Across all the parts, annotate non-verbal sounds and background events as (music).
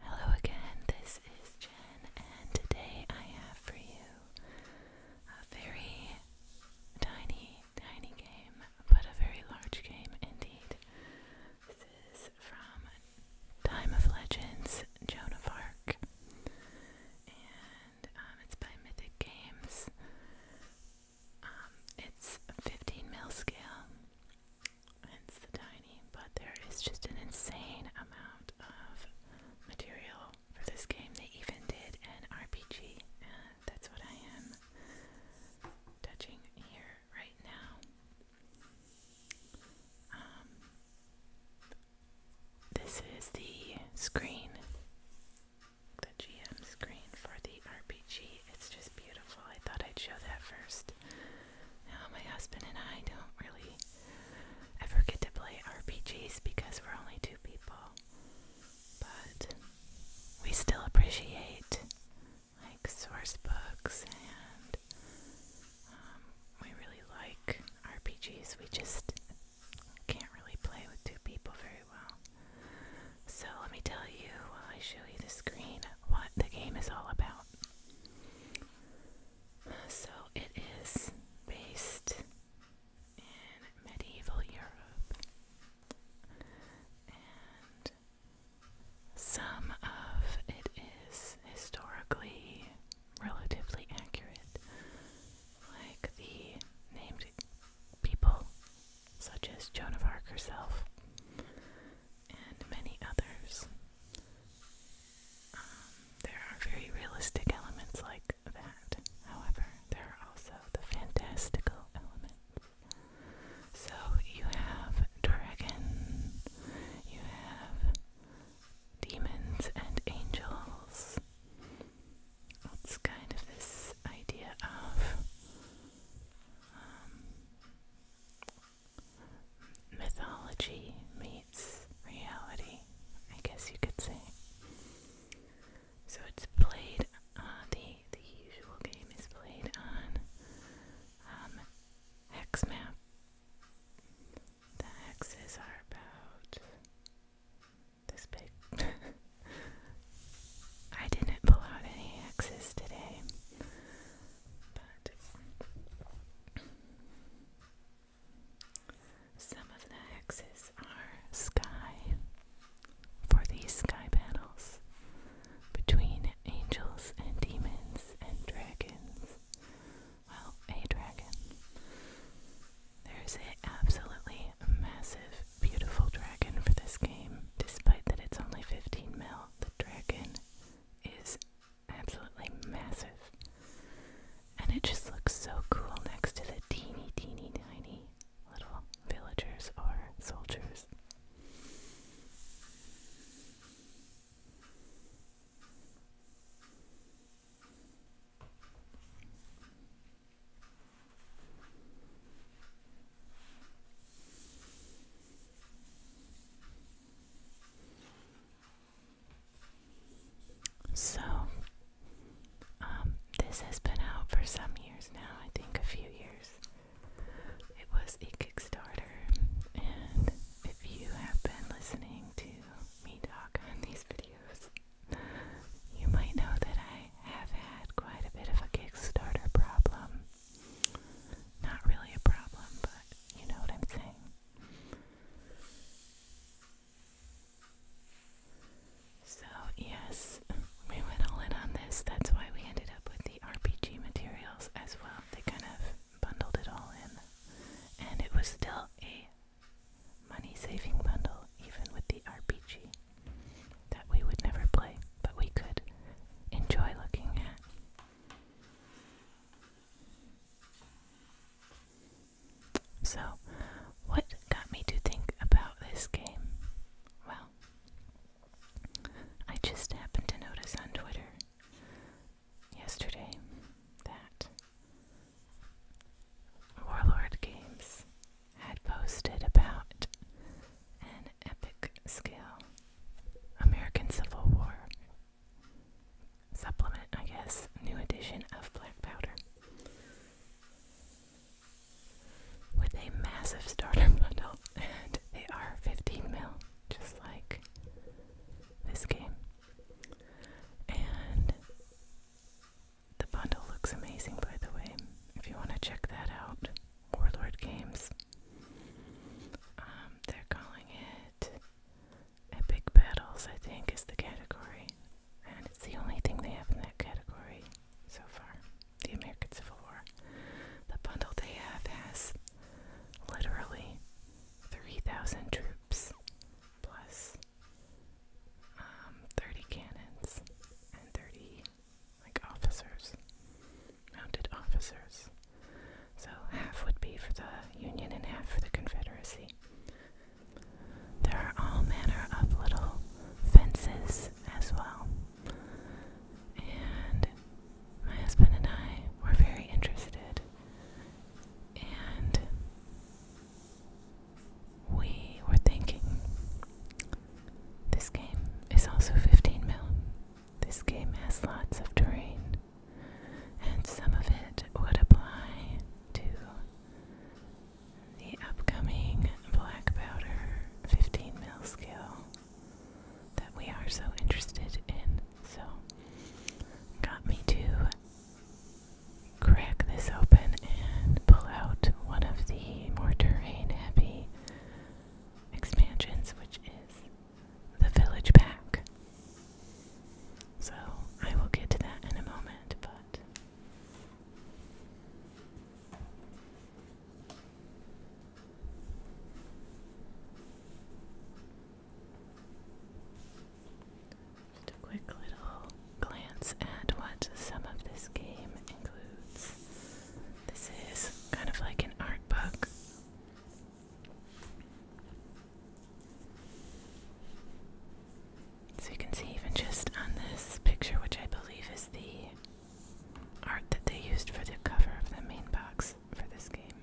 Hello again, this is Jen, and today I have for you a very tiny, tiny game, but a very large game indeed. This is from Time of Legends, Joan of and um, it's by Mythic Games. Um, it's 15 mil scale hence tiny, but there is just an insane amount of material for this game. They even did an RPG, and that's what I am touching here right now. Um, this is the screen, the GM screen for the RPG. It's just beautiful. I thought I'd show that first just, uh, my husband and I don't really ever get to play RPGs because we're only two people. But we still appreciate like source books and um, we really like RPGs. We just can't really play with two people very well. So let me tell you while I show you the screen what the game is all about. So it is based in medieval Europe, and some of it is historically relatively accurate, like the named people, such as Joan of Arc herself and many others. Um, there are very realistic elements like that. However, there are also the fantastical elements. So you have dragons, you have demons and angels. It's kind of this idea of um, mythology meets reality, I guess you could say. So it's played. Uh, the the usual game is played on hex um, map. The hexes are about this big. (laughs) I didn't pull out any hexes today. But some of the axes are sky for these sky battles between angels and demons and dragons. Well, a dragon. There's an absolutely massive, beautiful dragon for this game, despite that it's only 15 mil. The dragon is absolutely massive. And it just looks so cool next to the teeny, teeny, tiny little villagers or soldiers. So, um, this has been out for some years now, I think a few years. It was a Kickstarter, and if you have been listening to me talk on these videos, you might know that I have had quite a bit of a Kickstarter problem not really a problem, but you know what I'm saying. So, yes, we went all in on this. That's why we ended up with the RPG materials as well. They kind of bundled it all in. And it was still a money saving bundle, even with the RPG that we would never play, but we could enjoy looking at. So, what got me to think about this game? Well, I just happened to notice on Twitter yesterday that Warlord Games had posted about an epic scale American Civil War supplement, I guess, new edition of black powder. With a massive starter (laughs) bundle, and they are 15 mil, just like this game. And the bundle looks amazing, by the way. If you want to check that out, Warlord Games. Um, they're calling it it. Epic Battles, I think, is the category. And it's the only thing they have in that category so far. The American Civil War. The bundle they have has literally 3,000 troops plus um, 30 cannons and 30 like officers mounted officers. So half would be for the Union and half for the Confederacy. There are all manner of little fences as well. And my husband and I were very interested, and we were thinking this game is also 15 mil. This game has lots of terrain and some of it would apply to the upcoming black powder 15 mil scale that we are so interested in. So, got me to crack this open and pull out one of the more terrain heavy expansions, which is the village pack. So I will get to that in a moment, but. a quick little glance at what some of this game includes. This is kind of like an art book. So you can see even just on this picture, which I believe is the art that they used for the cover of the main box for this game.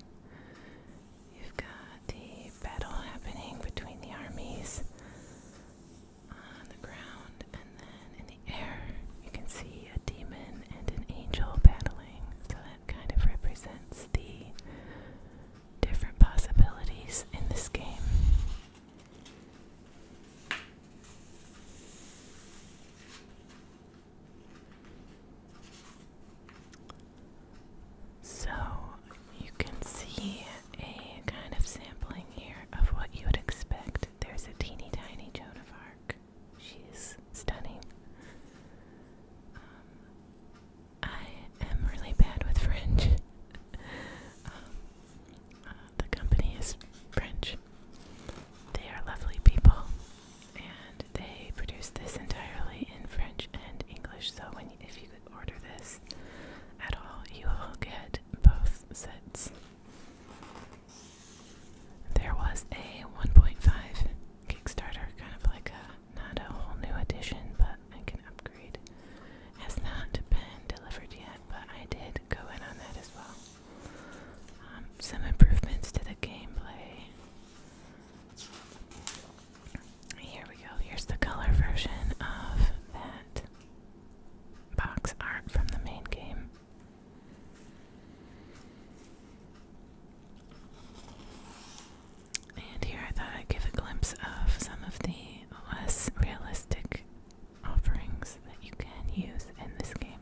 You've got the battle happening between the armies on the ground, and then in the air, you can see a demon and an angel battling kind of represents the different possibilities in this game. So you can see a kind of sampling here of what you would expect. There's a teeny tiny Joan of Arc. She's stunning. Um, I am really bad with French. Um, uh, the company is French. They are lovely people, and they produce this entirely in French and English. So, when if you order this at all, you will get both sets. There was a 1.5 Kickstarter, kind of like a not a whole new edition, but I can upgrade. Has not been delivered yet, but I did go in on that as well. Um, some improvements to the gameplay. Here we go. Here's the color version of that box art from the main game. And here I thought I'd give a glimpse of some of the less realistic offerings that you can use in this game.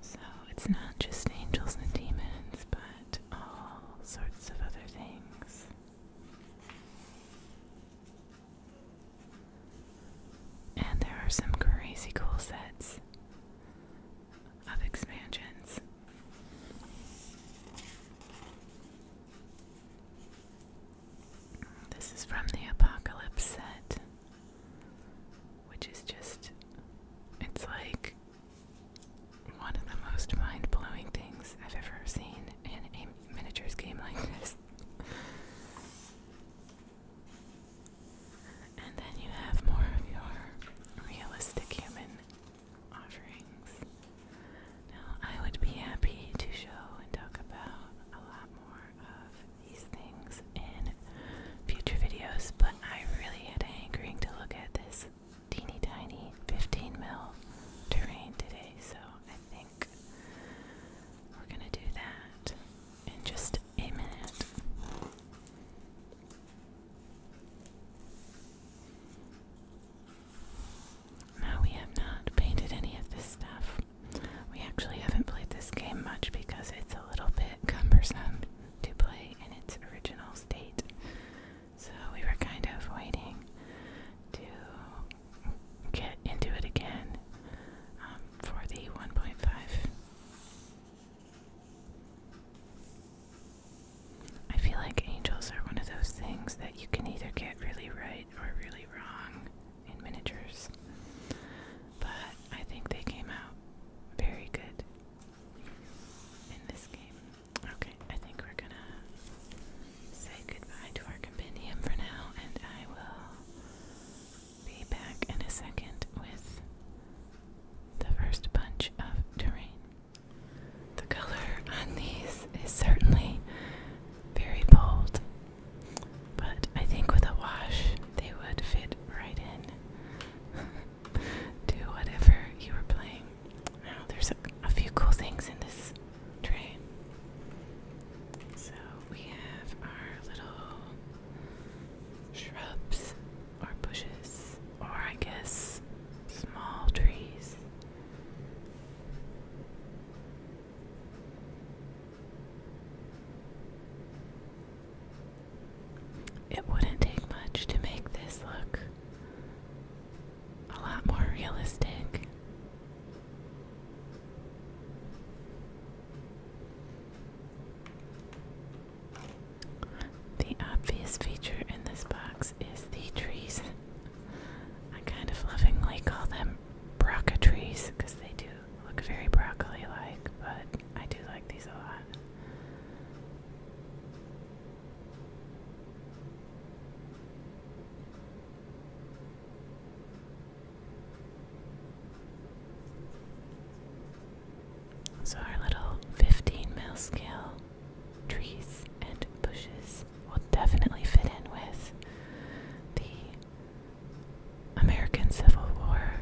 So it's not just angels and demons, but all sorts of other things. And there are some crazy cool sets of expansions. This is from the Apocalypse set, which is just, it's like one of the most mind blowing things I've ever seen in a miniatures game like this. And then you have more of your realistic human offerings. Now, I would be happy to show and talk about a lot more of these things in future videos, but I really had a hankering to look at this teeny tiny 15 mil terrain today, so I think we're gonna do that in just a minute. Now, we have not painted any of this stuff. We actually haven't played this game much because it's a little bit cumbersome to play in its original state. So, we were kind of waiting to get into it again um, for the 1.5 I feel like angels are one of those things that you can either get really right or really wrong in miniatures. But I think they came out very good in this game. Okay, I think we're gonna say goodbye to our compendium for now, and I will be back in a second with the first bunch of terrain. The color on these is certainly very bold, but I think with a wash they would fit right in (laughs) to whatever you were playing. Now, there's a few cool things in this tray. So, we have our little shrubs or bushes, or I guess small trees. It wouldn't take much to make this look a lot more realistic. The obvious feature in this box is the trees. I kind of lovingly call them Brocca trees because they do look very broccoli like, but I do like these a lot. So our little 15 mil scale trees and bushes will definitely fit in with the American Civil War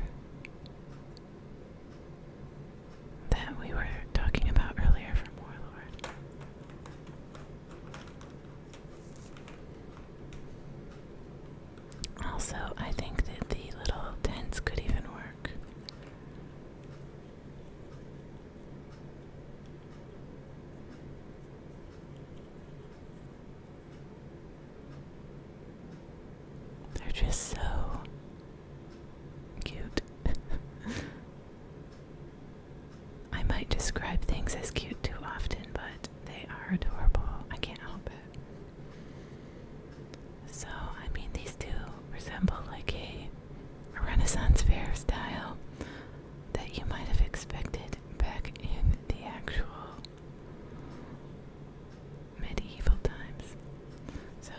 that we were talking about earlier from Warlord. Also, I think that the little tents could even work. They're just so cute. (laughs) I might describe things as cute too often, but they are adorable. I can't help it. So, I mean, these do resemble like a, Renaissance fair style that you might have expected back in the actual medieval times. So,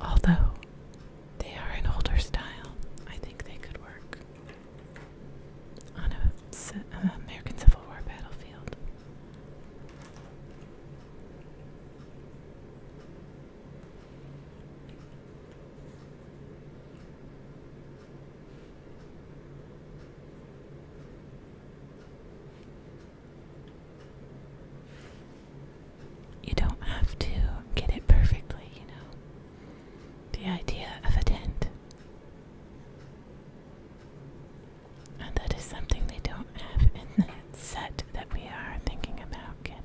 although they are an older style, I think they could work on a, uh, American Civil War battlefield. You don't have to get it perfectly, you know. The idea of a tent and that is something they don't have in (laughs) that set that we are thinking about getting.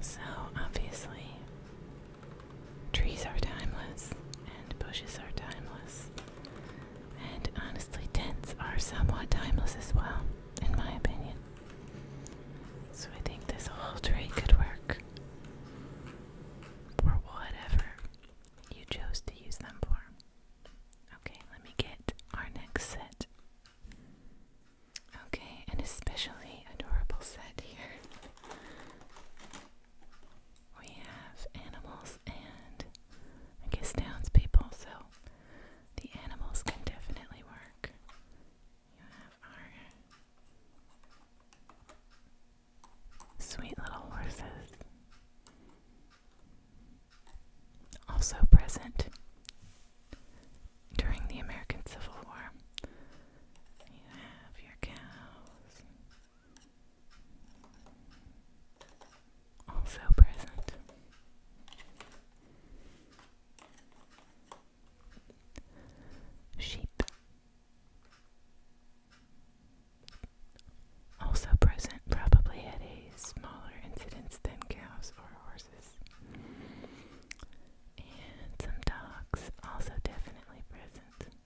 So, obviously, trees are timeless, and bushes are timeless, and honestly, tents are somewhat timeless as well, in my opinion. So, I think this whole tree could work for whatever you chose to use them for. Okay, let me get our next set. Okay, an especially adorable set here. We have animals and I guess townspeople, so the animals can definitely work. You have our sweet little horses also present during the American Civil War. You have your cows. Also present. Sheep also present probably at a smaller incidence than cows or horses. And some dogs also definitely present.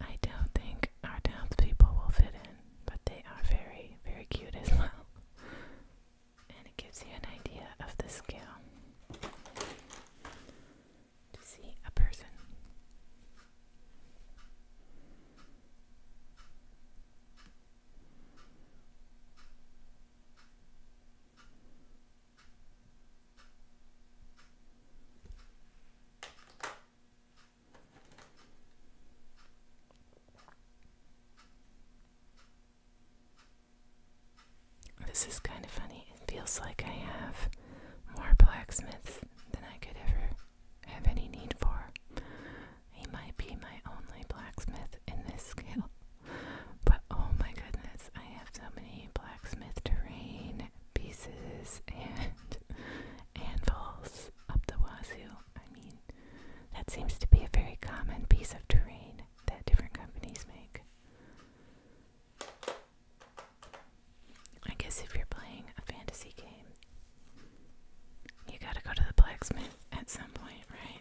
I don't think our townspeople will fit in, but they are very, very cute as well. And it gives you an idea of the scale to see a person. This is kind of funny. It feels like I have more blacksmiths than I could ever have any need for. He might be my only blacksmith in this scale, But oh my goodness, I have so many blacksmith terrain pieces and anvils up the wazoo. I mean, that seems to be a very common piece of terrain that different companies make. I guess if you're playing a fantasy game, you gotta go to the blacksmith at some point, right?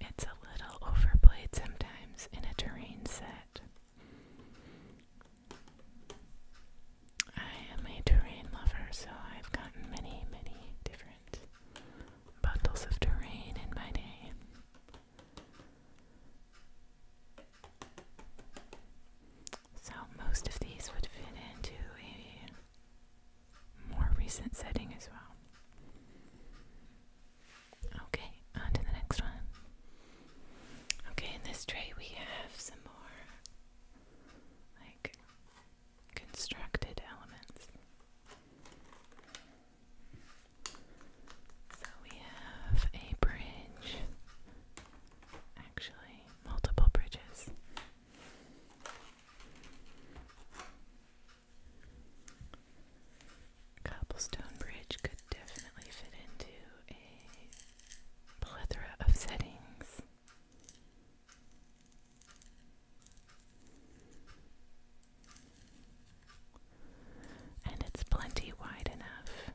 it's a little overplayed sometimes in a terrain set. I am a terrain lover, so I've gotten many, many different bundles of terrain in my day. So most of these would fit into a more recent setting as well. Okay, on to the next one. Okay, in this tray we have some more like constructed elements. So we have a bridge Actually, multiple bridges. Cobblestone Bridge could definitely fit into a plethora of settings. And it's plenty wide enough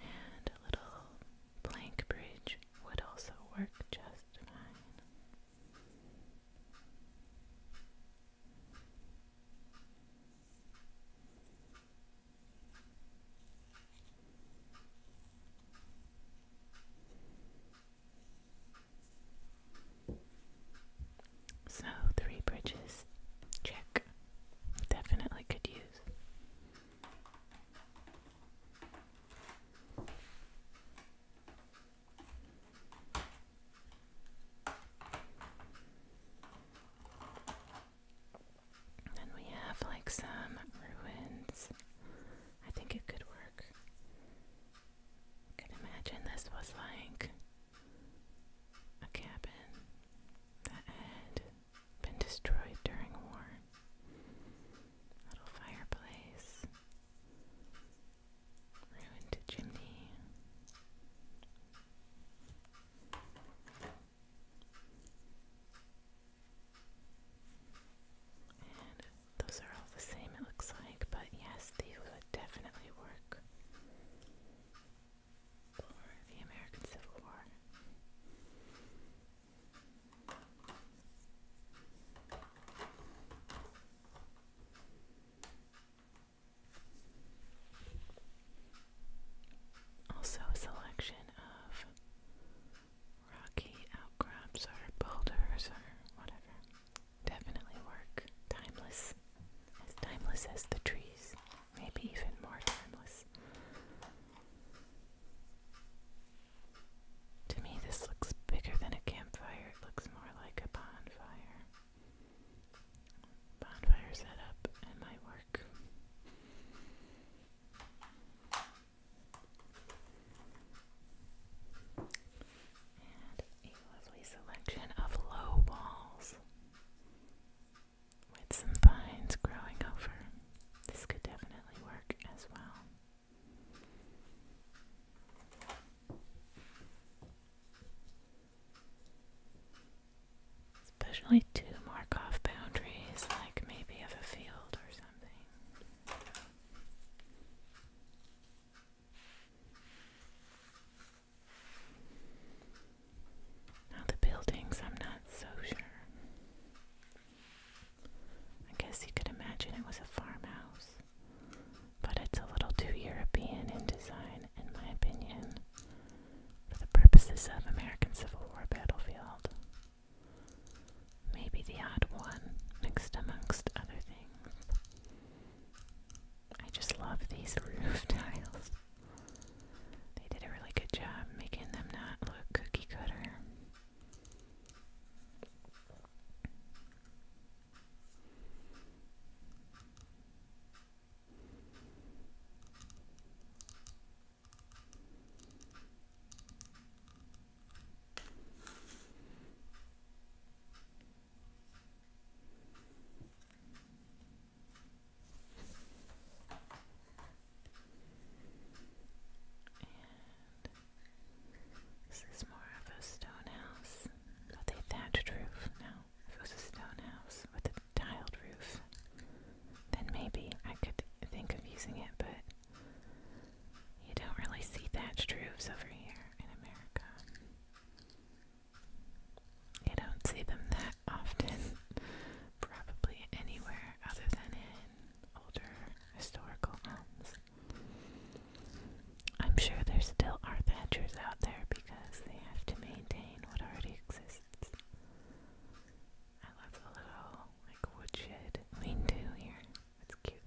And a little blank bridge would also work just fine. So, three bridges, check definitely could use. Then we have like some ruins. I think it could work. I imagine this was like a cabin that had been destroyed during war. Little fireplace, ruined chimney. those are all the same, it looks like, but yes, these would definitely work the American Civil War. Also, a selection of rocky outcrops or boulders or whatever. Definitely work. Timeless. As timeless as the trees maybe even more timeless. To me, this looks bigger than a campfire. It looks more like a bonfire. Bonfire setup and my work. And a lovely selection of low walls with some vines growing over. This could definitely work as well. Especially two mark off boundaries, like maybe of a field or something. Now, the buildings, I'm not so sure. I guess you could imagine it was a farmhouse, but it's a little too European in design, in my opinion, for the purposes of American Civil War battlefield. Maybe the odd one mixed amongst other things. I just love these (laughs) roof tiles. They did a really good job making them not look cookie cutter this is more of a stone house with a thatched roof. Now, if it was a stone house with a tiled roof, then maybe I could think of using it, but you don't really see thatched roofs over here in America. I don't see them that often, (laughs) probably anywhere other than in older historical homes. I'm sure there still are thatchers out there because they have to maintain what already exists. I love the little like woodshed lean to here. It's cute.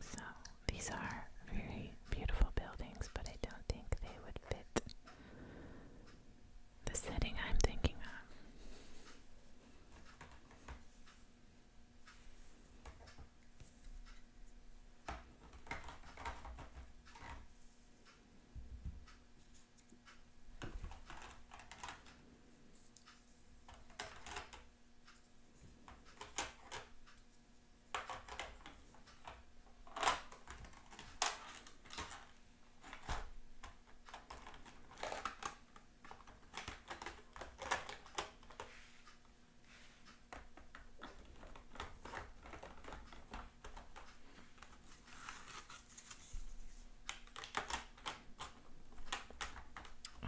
So these are very beautiful buildings, but I don't think they would fit the setting I'm thinking of.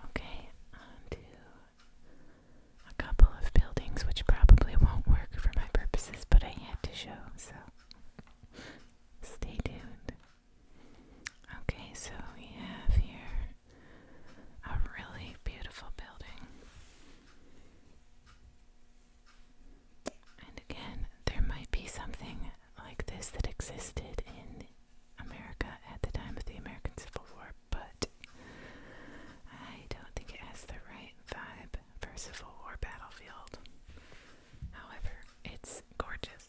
Okay, on to a couple of buildings, which probably won't work for my purposes, but I had to show, so stay tuned. Okay, so we have here a really beautiful building. And again, there might be something like this that existed in America at the time of the American Civil War, but I don't think it has the right vibe for a battlefield. However, it's gorgeous.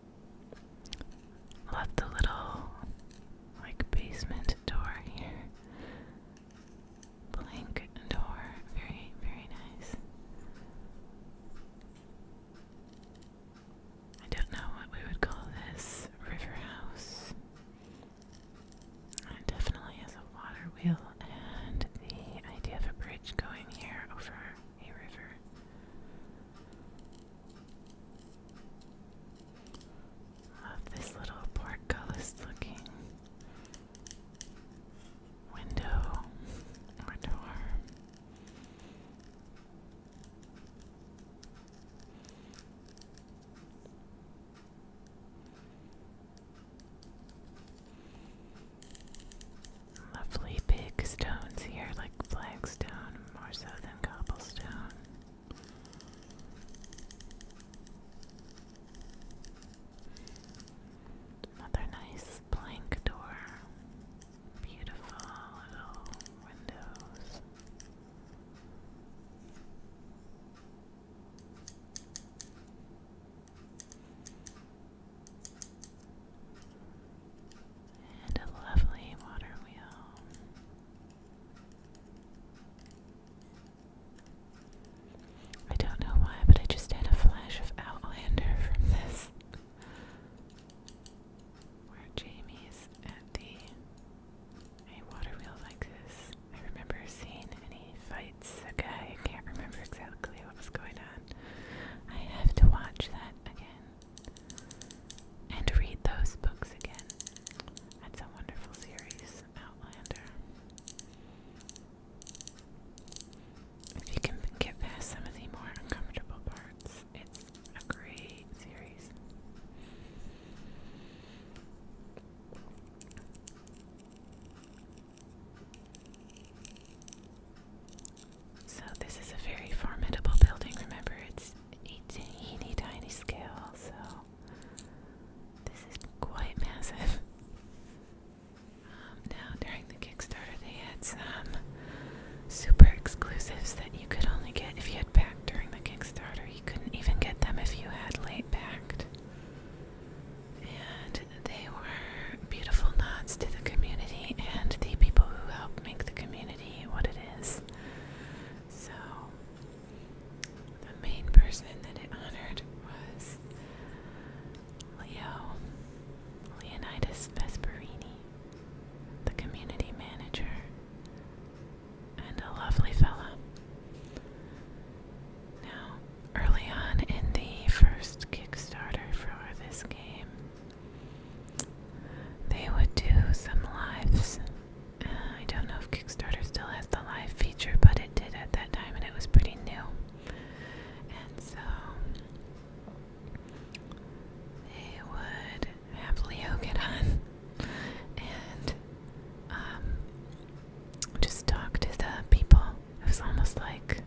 Left a little like basement door here. Blank door. Very, very nice. I don't know what we would call this river house. It definitely has a water wheel and the idea of a bridge going here over a river of this little portcullis looking window or door. Lovely big stones here, like flagstone more so than cobblestone. Another nice blank door. Beautiful little windows. And a lovely water wheel. I don't know why, but I just had a flash of Outlander from this. Where Jamie's at the a water like this. I remember seeing any fights Okay, I can't remember exactly what was going on. I have to watch that again and read those books again. That's a wonderful series, Outlander. If you can get past some of the more uncomfortable parts, it's a great series. So, this is a very formidable building. Remember, it's teeny tiny scale, so this is quite massive. Um, now, during the Kickstarter, they had some super exclusives that you could only get if you had backed during the Kickstarter. You couldn't even get them if you had late backed. And they were beautiful nods to the community and the people who help make the community what it is. So, the main person that it honored was Leo Leonidas Vesperini, the community manager, and a lovely fella. Now, early on in the first Kickstarter for this game, they would do some lives uh, I don't know if Kickstarter still has the live feature, but it did at that time and it was pretty new. And so they would have Leo get on and um, just talk to the people. It was almost like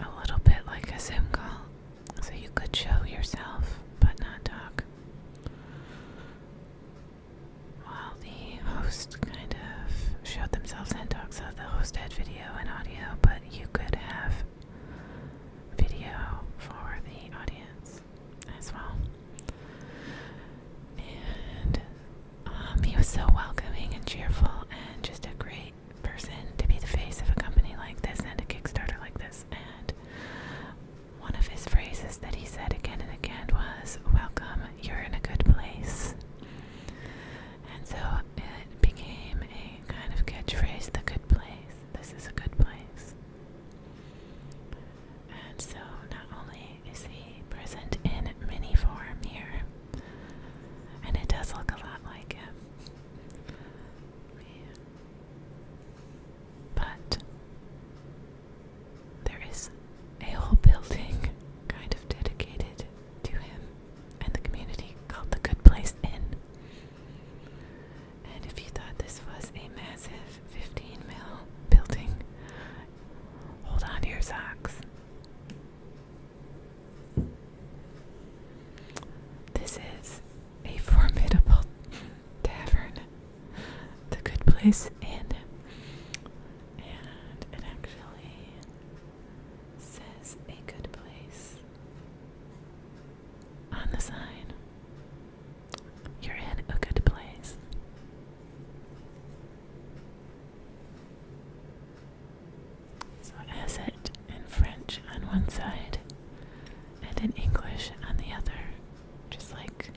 a little bit like a Zoom call. So you could show yourself, but not talk. While the host kind of showed themselves and talked, so the host had video and audio, but you could have video for the audience as well. And um, he was so welcoming and cheerful and just a great person to be the face of a company like this and a Kickstarter like this. And one of his phrases that he said again and again was, Welcome, you're in a good place. And so it became a kind of catchphrase the good place. This is a good place. And so not only is he present in mini form here, and it does look a lot like him. Yeah. But there is a whole building kind of dedicated to him and the community called the Good Place Inn. And if you thought this was a massive 15 mile building, hold on to your socks. This is a formidable tavern. a Good Place And it actually says a good place on the sign. You're in a good place. So it in French on one side and in English on the other. Just like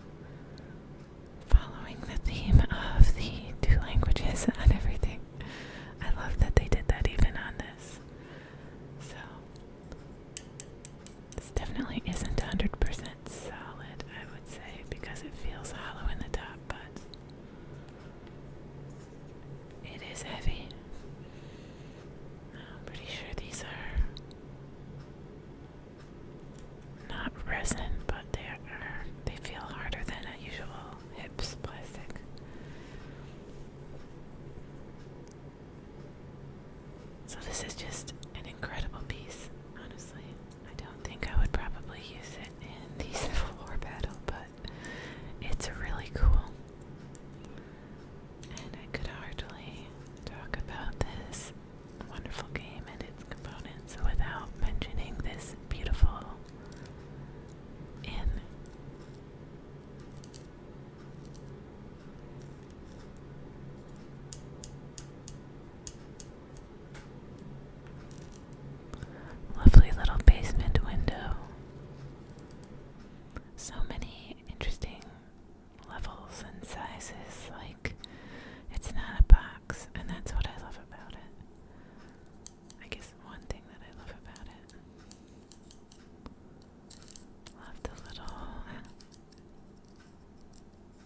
following the theme of the two languages (laughs) on everything. I love that they did that even on this. So this definitely isn't 100% solid, I would say, because it feels hollow in the top, but it is heavy. I'm pretty sure these are not resin, but they are they feel harder than a usual hips plastic. So this is just an incredible piece, honestly. I don't think I would probably use it in the (laughs) Civil War battle, but it's really cool. And I could hardly talk about this wonderful game and its components without mentioning this beautiful inn. Lovely little basement window so many interesting levels and sizes. Like, it's not a box, and that's what I love about it. I guess one thing that I love about it. Love the little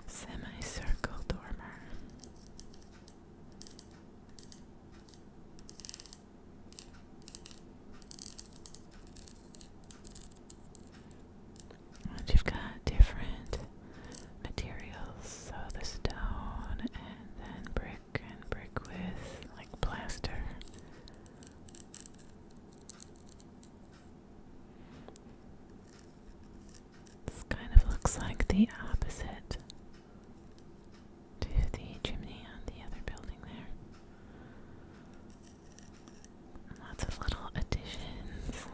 semicircle dormer you've got different materials, so the stone and then brick and brick with like plaster. This kind of looks like the opposite to the chimney on the other building there. Lots of little additions.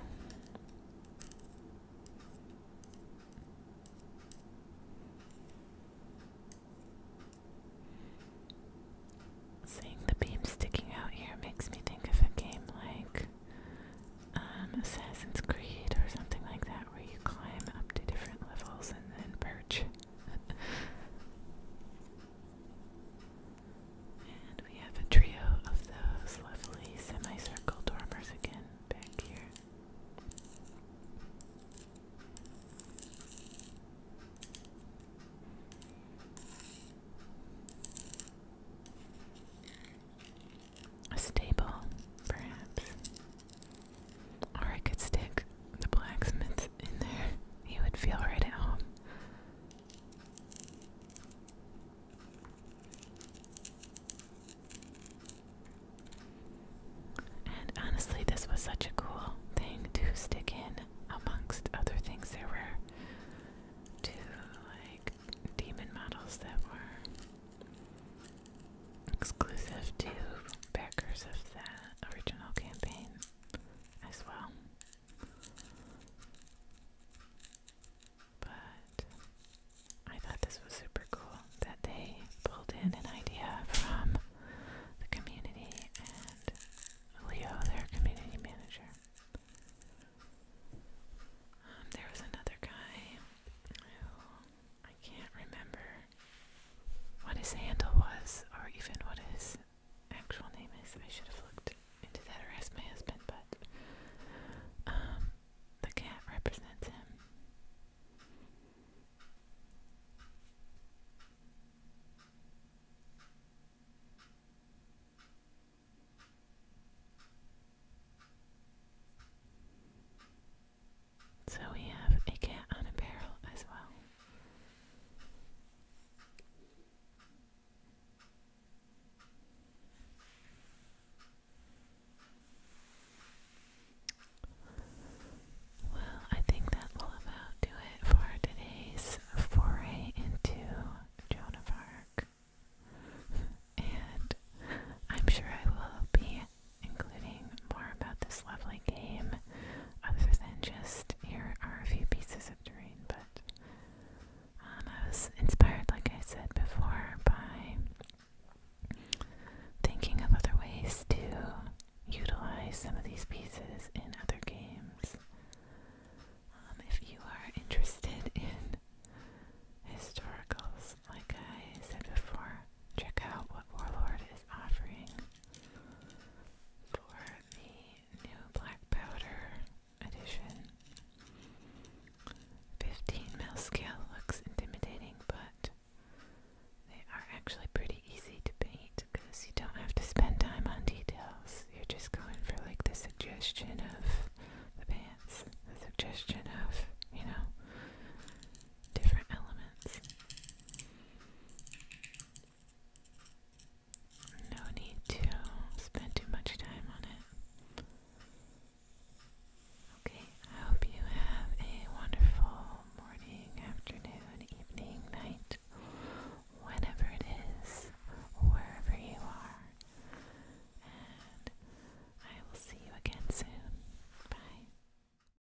Seeing the beams sticking out here makes me think of a game like um, Assassin's Creed or something like that, where you climb up to different levels and then perch and we have a trio of those lovely semicircle dormers again back here. A stable, perhaps. Or I could stick the blacksmith in there. He would feel right at home. And honestly, this was such a cool thing to stick in amongst other things. There were two, like, demon models that were exclusive to backers of the original campaign as well. But I thought this was super cool that they pulled in an idea from the community and Leo, their community manager. Um, there was another guy who I can't remember what his handle was or even what his actual name is. I should have looked into that or asked my husband, but um, the cat represents him. So we have a cat on a barrel as well. Well, I think that will about do it for today's foray into Joan of (laughs) And I'm sure I will be including more about this lovely game, other than just here are a few pieces of terrain. But um, I was inspired, like I said before, by thinking of other ways to utilize some of these pieces in other games. Um, if you are interested in historicals, like I said before, check out what Warlord is offering for the new black powder edition. 15mm scale looks intimidating, but they are actually pretty easy to paint because you don't have to spend time on details. You're just going for like the suggestion of the pants, the suggestion of, you know, different elements. No need to spend too much time on it. Okay, I hope you have a wonderful morning, afternoon, evening, night, whenever it is, wherever you are. And I will see you again soon. Bye.